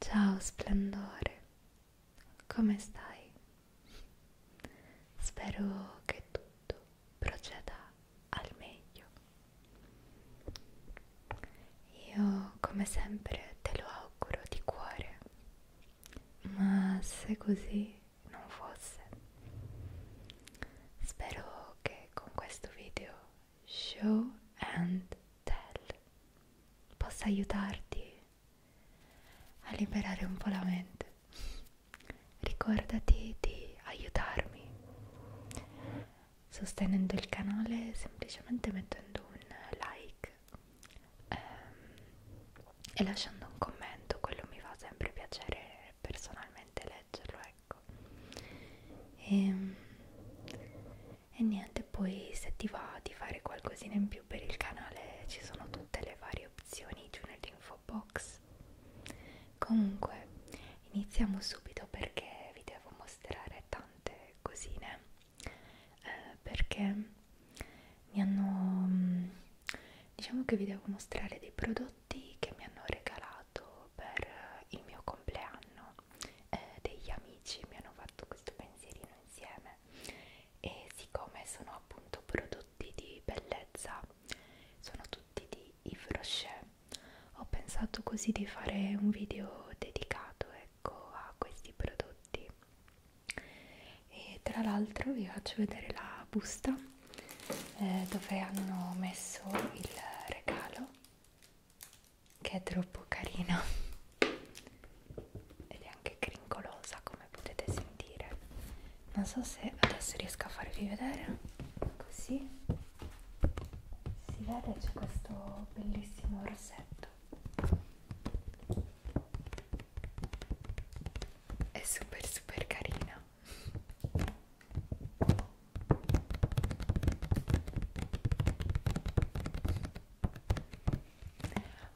Ciao splendore, come stai? Spero che tutto proceda al meglio. Io come sempre te lo auguro di cuore, ma se così non fosse. Spero che con questo video show and tell possa aiutarti a liberare un po' la mente. Ricordati di aiutarmi sostenendo il canale semplicemente mettendo un like ehm, e lasciando un commento, quello mi fa sempre piacere personalmente leggerlo, ecco. E, ehm, e niente, poi se ti va di fare qualcosina in più per il canale ci sono tutte le varie opzioni giù nell'info box. Comunque, iniziamo subito perché vi devo mostrare tante cosine. Eh, perché mi hanno mm, diciamo che vi devo mostrare dei prodotti che mi hanno regalato per il mio compleanno eh, degli amici mi hanno fatto questo pensierino insieme e siccome sono appunto prodotti di bellezza sono tutti di Yves Rocher ho pensato così di fare un video dedicato ecco a questi prodotti e tra l'altro vi faccio vedere la busta eh, dove hanno messo il regalo che è troppo carino ed è anche crincolosa come potete sentire non so se adesso riesco a farvi vedere così si vede c'è questo bellissimo rossetto è super super carina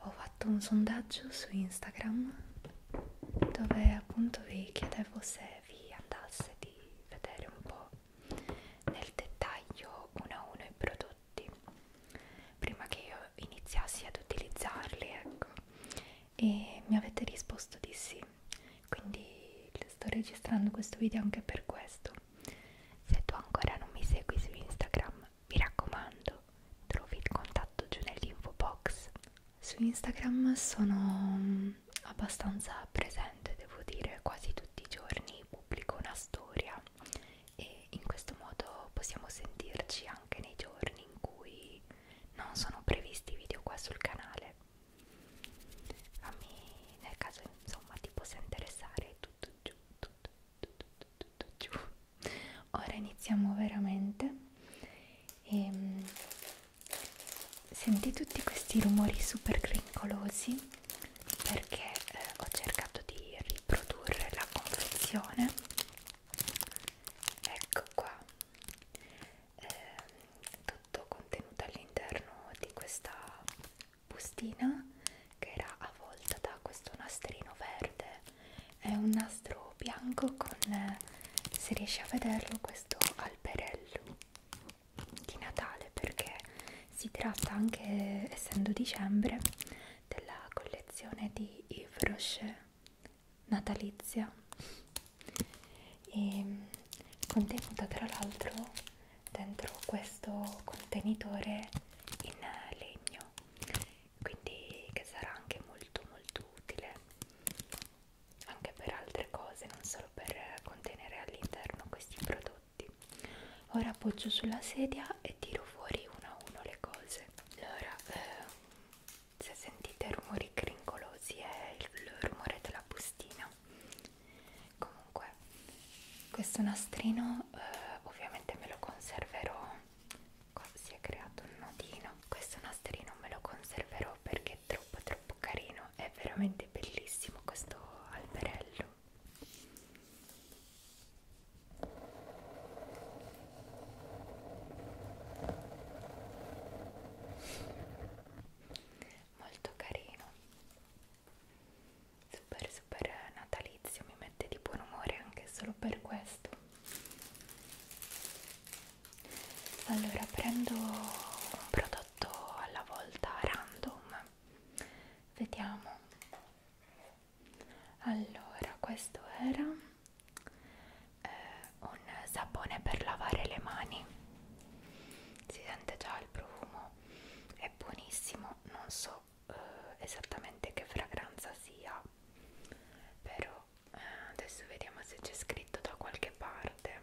ho fatto un sondaggio su Instagram dove appunto vi chiedevo se vi andasse di vedere un po' nel dettaglio uno a uno i prodotti prima che io iniziassi ad utilizzarli ecco e mi avete risposto di sì quindi sto registrando questo video anche per questo se tu ancora non mi segui su Instagram mi raccomando trovi il contatto giù nell'info box su Instagram sono mm, abbastanza presente devo dire quasi tutti i giorni pubblico una storia e in questo modo possiamo sentirci anche nei giorni in cui non sono previsti video qua sul canale fammi nel caso insomma ti possa interessare tutto giù tutto, tutto, tutto, tutto giù ora iniziamo veramente e, ehm, senti tutti questi rumori super crincolosi perché eh, ho cercato di riprodurre la confezione ecco qua eh, tutto contenuto all'interno di questa bustina che era avvolta da questo nastrino verde è un nastro bianco con eh, se riesci a vederlo questo alberello di Natale perché si tratta anche essendo dicembre della collezione di Yves Rocher natalizia e contenuta tra l'altro dentro questo contenitore in legno quindi che sarà anche molto molto utile anche per altre cose non solo per contenere all'interno questi prodotti ora appoggio sulla sedia e tiro fuori uno a uno le cose allora eh, se sentite rumori crincolosi è il rumore della bustina comunque questo nastrino eh, ovviamente me lo conserverò qua si è creato un nodino questo nastrino me lo conserverò perché è troppo troppo carino è veramente bellissimo questo alberello molto carino super super natalizio mi mette di buon umore anche solo per questo allora prendo un prodotto alla volta random vediamo allora questo era eh, un sapone per lavare le mani si sente già il profumo è buonissimo non so eh, esattamente che fragranza sia però eh, adesso vediamo se c'è scritto da qualche parte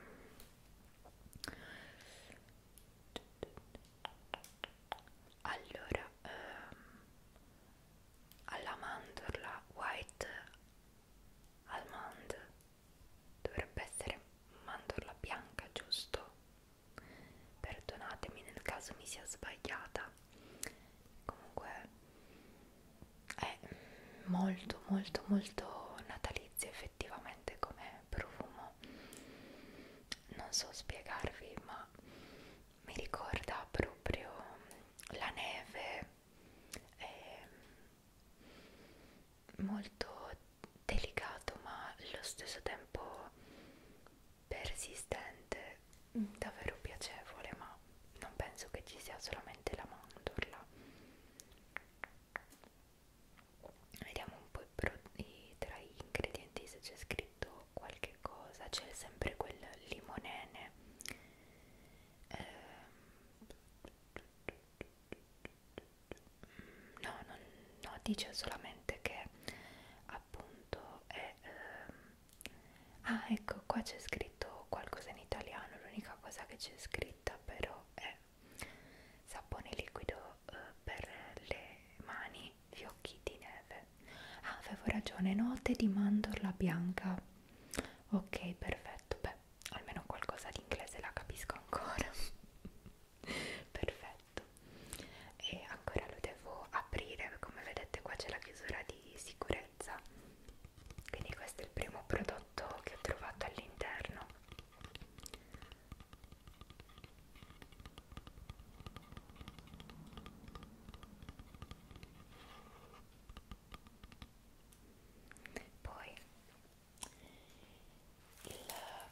allora ehm, alla mandorla white almond dovrebbe essere mandorla bianca giusto perdonatemi nel caso mi sia sbagliata comunque è molto molto molto natalizio effettivamente come profumo non so spiegarvi ma mi ricorda proprio la neve è ehm, molto delicato ma allo stesso tempo persistente mm, davvero piacevole ma non penso che ci sia solamente la mandorla vediamo un po' i, tra gli ingredienti se c'è scritto qualche cosa c'è sempre quel limonene eh, no, non, no, dice solamente che appunto è... Ehm, ah, ecco, qua c'è scritto qualcosa in italiano, l'unica cosa che c'è scritta però è sapone liquido eh, per le mani, fiocchi di neve. Ah, avevo ragione, note di mandorla bianca. Ok, perfetto, beh, almeno qualcosa di inglese la capisco ancora perfetto e ancora lo devo aprire come vedete qua c'è la chiusura di sicurezza quindi questo è il primo prodotto che ho trovato all'interno poi il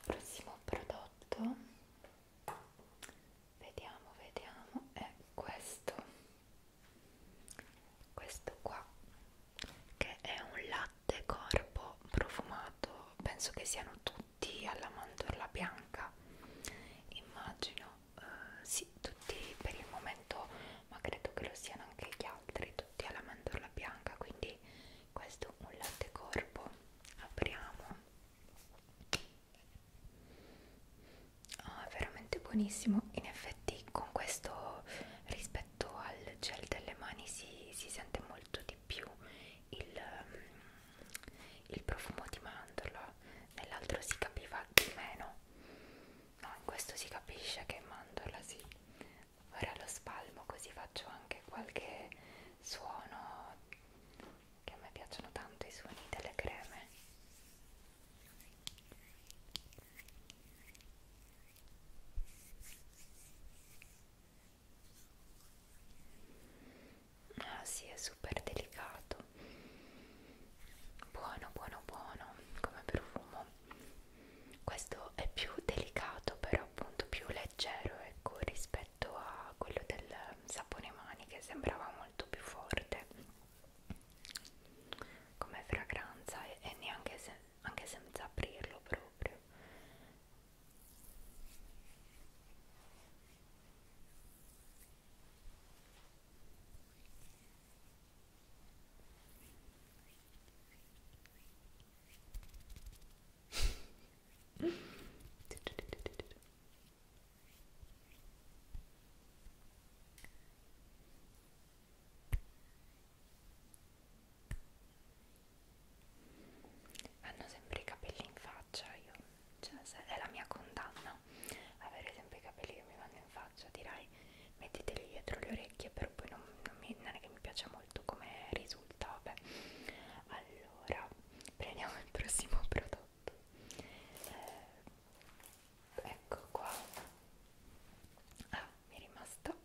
prossimo prodotto, vediamo, vediamo, è questo, questo qua, che è un latte corpo profumato, penso che siano tutti alla mandorla bianca, immagino, eh, sì, tutti per il momento ma credo che lo siano anche gli altri tutti alla mandorla bianca quindi questo un latte corpo apriamo oh, è veramente buonissimo in effetti con questo rispetto al gel delle mani si, si sente molto di più il, il profumo di mandorla nell'altro si capiva di meno no in questo si capisce che è mandorla sì ora lo spalmo così faccio anche qualche suono che a me piacciono tanto i suoni delle creme ah sì è super delicato buono buono buono come profumo questo è più delicato però appunto più leggero ecco rispetto a quello del sapone mani che sembrava molto più forte come fragranza e, e neanche se, anche senza aprirlo proprio hanno sempre i capelli in faccia, io, cioè, è la mia condanna avere sempre i capelli che mi vanno in faccia, dirai mai metteteli dietro le orecchie però poi non, non, mi, non è che mi piace molto come risulta vabbè allora prendiamo il prossimo prodotto eh, ecco qua ah, mi è rimasto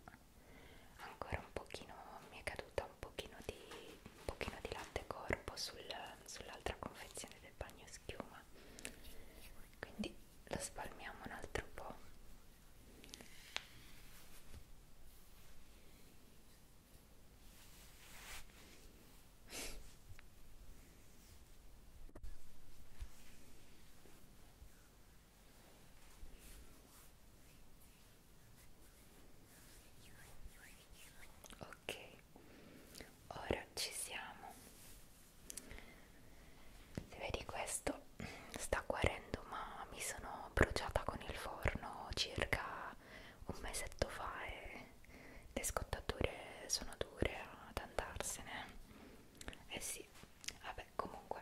ancora un pochino mi è caduta un pochino di, un pochino di latte corpo sul, sull'altra confezione del bagno schiuma quindi lo spalmiamo un altro po' Ok, ora ci siamo se vedi questo sta guarendo ma mi sono bruciata con il forno circa un mesetto fa e le scottature sono dure ad andarsene eh sì vabbè comunque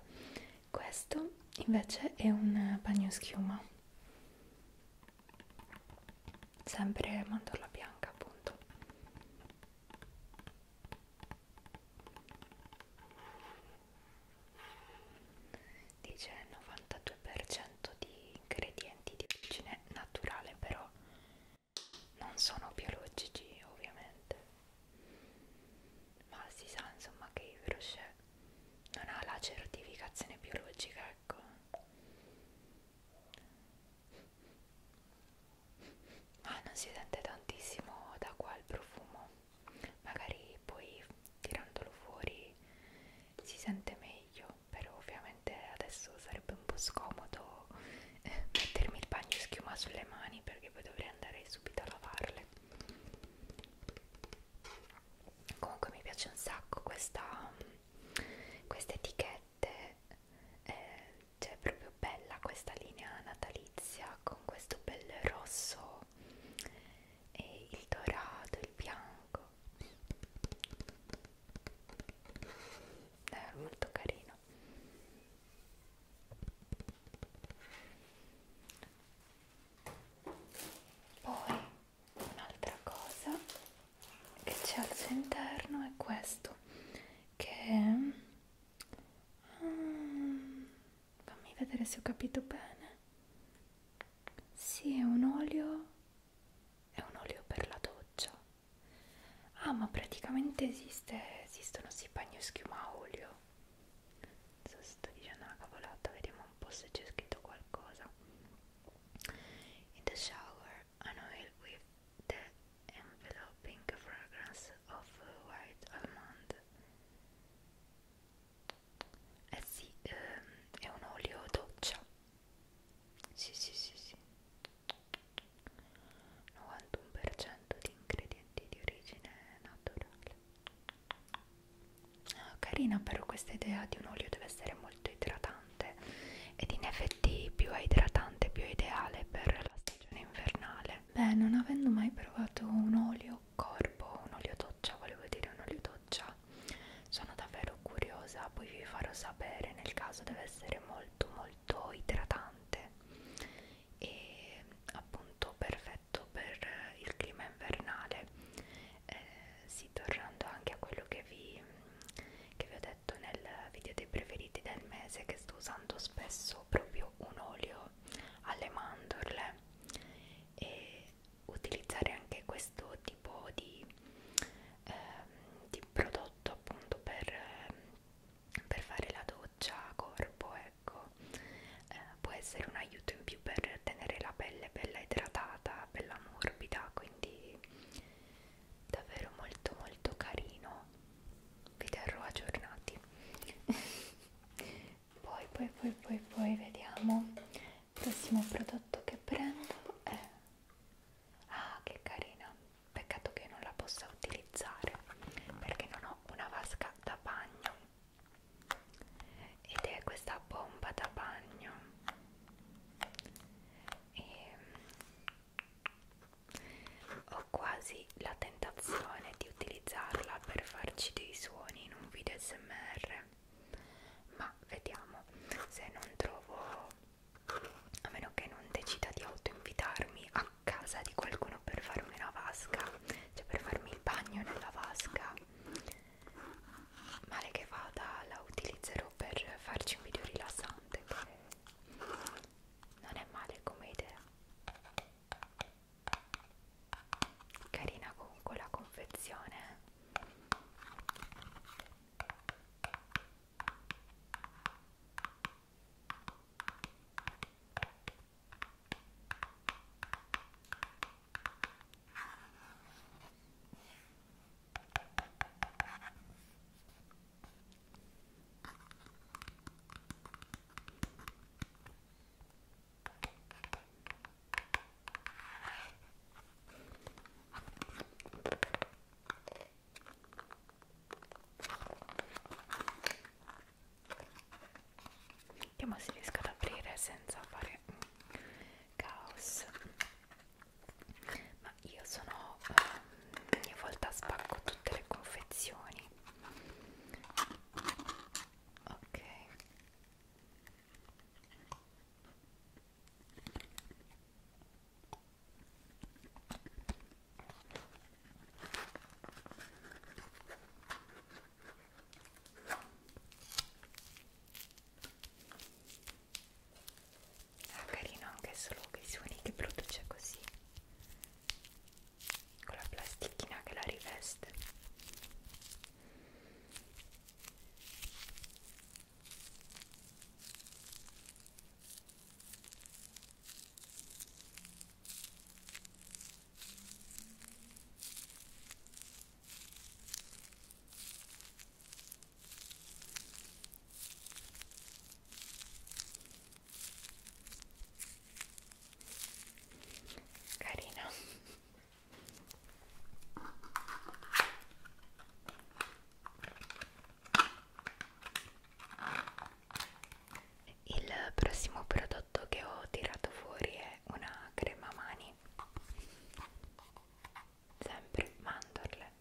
questo invece è un bagno schiuma sempre mandorla bianca appunto dice 92% di ingredienti di origine naturale però non sono biologici ovviamente ma si sa insomma che il Rocher non ha la certificazione biologica ecco ma ah, non si sente tantissimo da qua il profumo magari poi tirandolo fuori si sente meglio però ovviamente adesso sarebbe un po' scomodo eh, mettermi il bagno schiuma sulle mani perché poi dovrei andare subito a lavarle comunque mi piace un sacco questa questa etichette eh, cioè è proprio bella questa linea natalizia natalizia con questo bel rosso e il dorato, il bianco è molto carino poi un'altra cosa che c'è al suo interno è questo che è um, fammi vedere se ho capito bene sì è un olio è un olio per la doccia ah ma praticamente esiste esistono sì bagno schiuma a olio non so se sto dicendo una cavolata vediamo un po' se c'è scritto qualcosa in the shower an oil with the enveloping fragrance of white almond eh sì ehm, è un olio doccia sì sì sì sì 91% di ingredienti di origine naturale ah, carina però questa idea di un olio deve essere molto idratante ed in effetti più è idratante più è ideale per la stagione invernale beh non avendo mai provato un olio mio corpo un olio doccia volevo dire un olio doccia sono davvero curiosa poi vi farò sapere nel caso deve essere molto molto idratante e appunto perfetto per il clima invernale eh, sì tornando anche a quello che vi, che vi ho detto nel video dei preferiti del mese che sto usando spesso proprio un olio alle mandorle e utilizzare anche questo tipo di, eh, di prodotto appunto per, eh, per fare la doccia a corpo ecco eh, può essere un aiuto in più per tenere la pelle bella idratata bella morbida quindi davvero molto molto carino vi terrò aggiornati poi poi poi poi poi vediamo il prossimo prodotto che prendo è ah che carina peccato che non la possa utilizzare perché non ho una vasca da bagno ed è questa bomba da bagno e ho quasi la tentazione di utilizzarla per farci dei suoni in un video smr ma vediamo se non trovo a meno che non decida di autoinvitarmi a casa di qualcuno per farmi una vasca cioè per farmi il bagno nella vasca male che vada la utilizzerò per farci un video rilassante che non è male come idea carina comunque la confezione Vediamo se riesco ad aprire senza fare caos. Ma io sono ehm, ogni volta spacco tutte le confezioni ok Ah, carino anche solo che suoni che produce così con la plastichina che la riveste carina il prossimo prodotto che ho tirato fuori è una crema mani sempre mandorle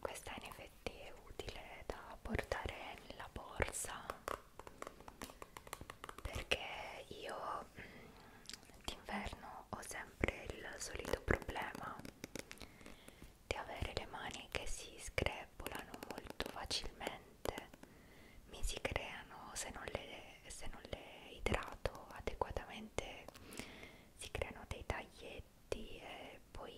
questa in effetti è utile da portare nella borsa perché io mm, d'inverno ho sempre il solito problema di avere le mani che si screpolano molto facilmente mi si creano se non le, se non le idrato adeguatamente si creano dei tagli stretti e poi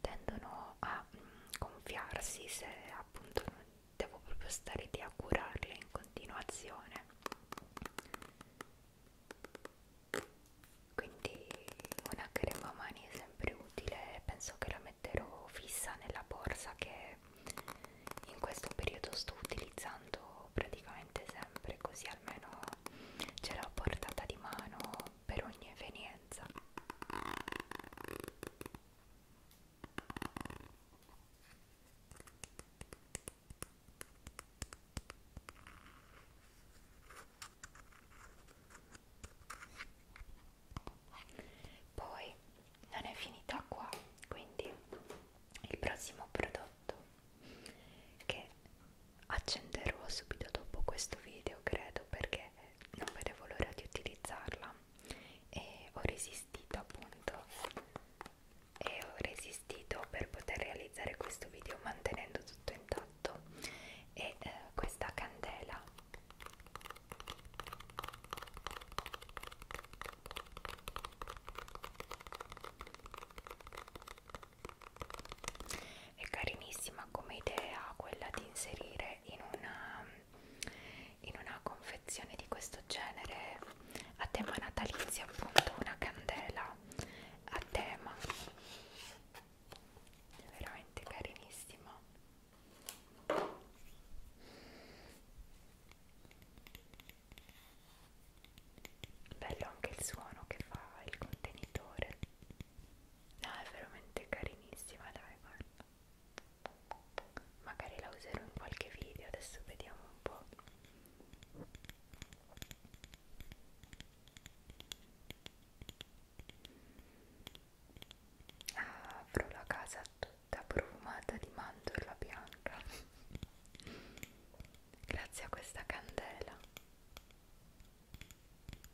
tendono a mm, gonfiarsi se appunto non devo proprio stare lì a curarle in continuazione quindi una crema mani è sempre utile penso che la metterò fissa nella borsa che in questo periodo sto utilizzando praticamente sempre così almeno ce l'ho a portata di mano per ogni evenienza. Poi non è finita qua, quindi il prossimo prodotto che accenderò subito dopo questo video credo perché non vedevo l'ora di utilizzarla e ho resistito appunto e ho resistito per poter realizzare questo video mantenendo tutto intatto e eh, questa candela è carinissima come idea quella di inserire in una, in una confezione di questo genere a tema natalizio appunto una candela a tema è veramente carinissima bello anche il suono che fa il contenitore No, è veramente carinissima, dai, guarda. Magari la userò in qualche video, adesso vediamo un po'. Ah, avrò la casa tutta profumata di mandorla bianca grazie a questa candela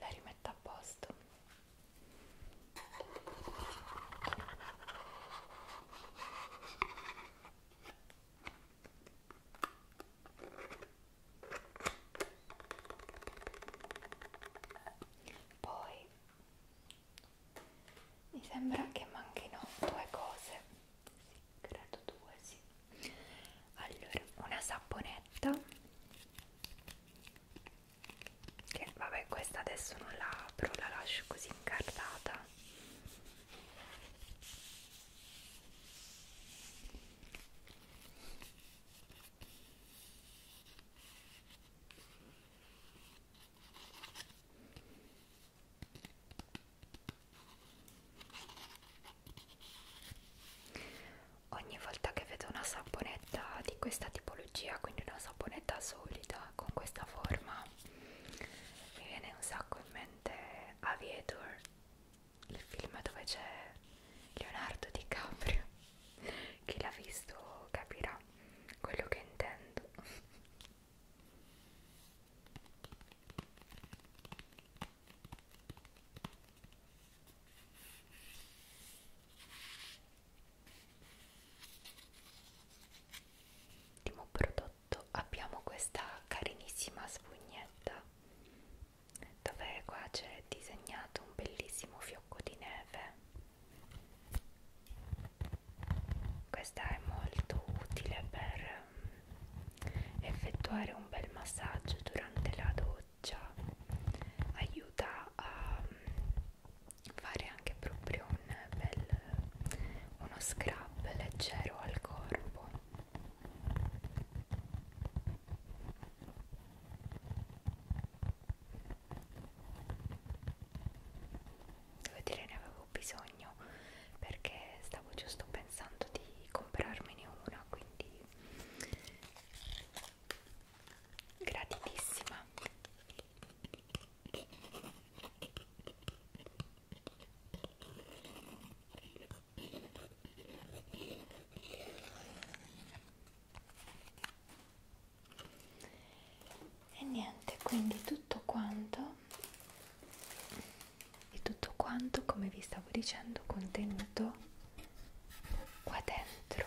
la rimetto a posto poi mi sembra che manchino due cose sì, credo due sì allora una saponetta che vabbè questa adesso non la apro la lascio così incartata ogni volta che vedo una saponetta di questa tipologia, quindi una saponetta solida con questa forma, mi viene un sacco in mente Aviator, il film dove c'è Leonardo DiCaprio. Chi l'ha visto capirà quello che intendo ultimo prodotto abbiamo questa carinissima spugnetta dove qua c'è disegnato un bellissimo fiocco di neve questa è molto utile per ehm, effettuare un bel massaggio durante la doccia goccia aiuta a mm, fare anche proprio un bel uno scrub leggero al corpo devo dire ne avevo bisogno perché stavo giusto pensando di comprarmene una quindi gratitissima e niente quindi tutto quanto e tutto quanto come vi stavo dicendo contenuto qua dentro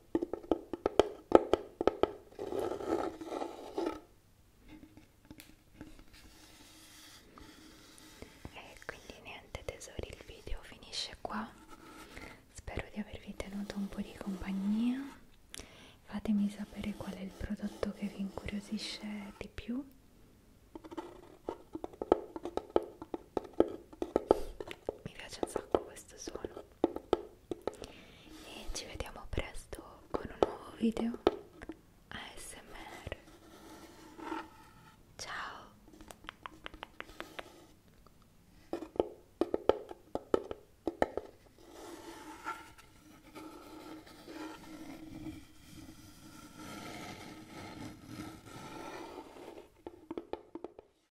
E quindi niente tesori, il video finisce qua. Spero di avervi tenuto un po' di compagnia. Fatemi sapere qual è il prodotto che vi incuriosisce di più. Mi piace un sacco questo suono e ci vediamo presto con un nuovo video ASMR ciao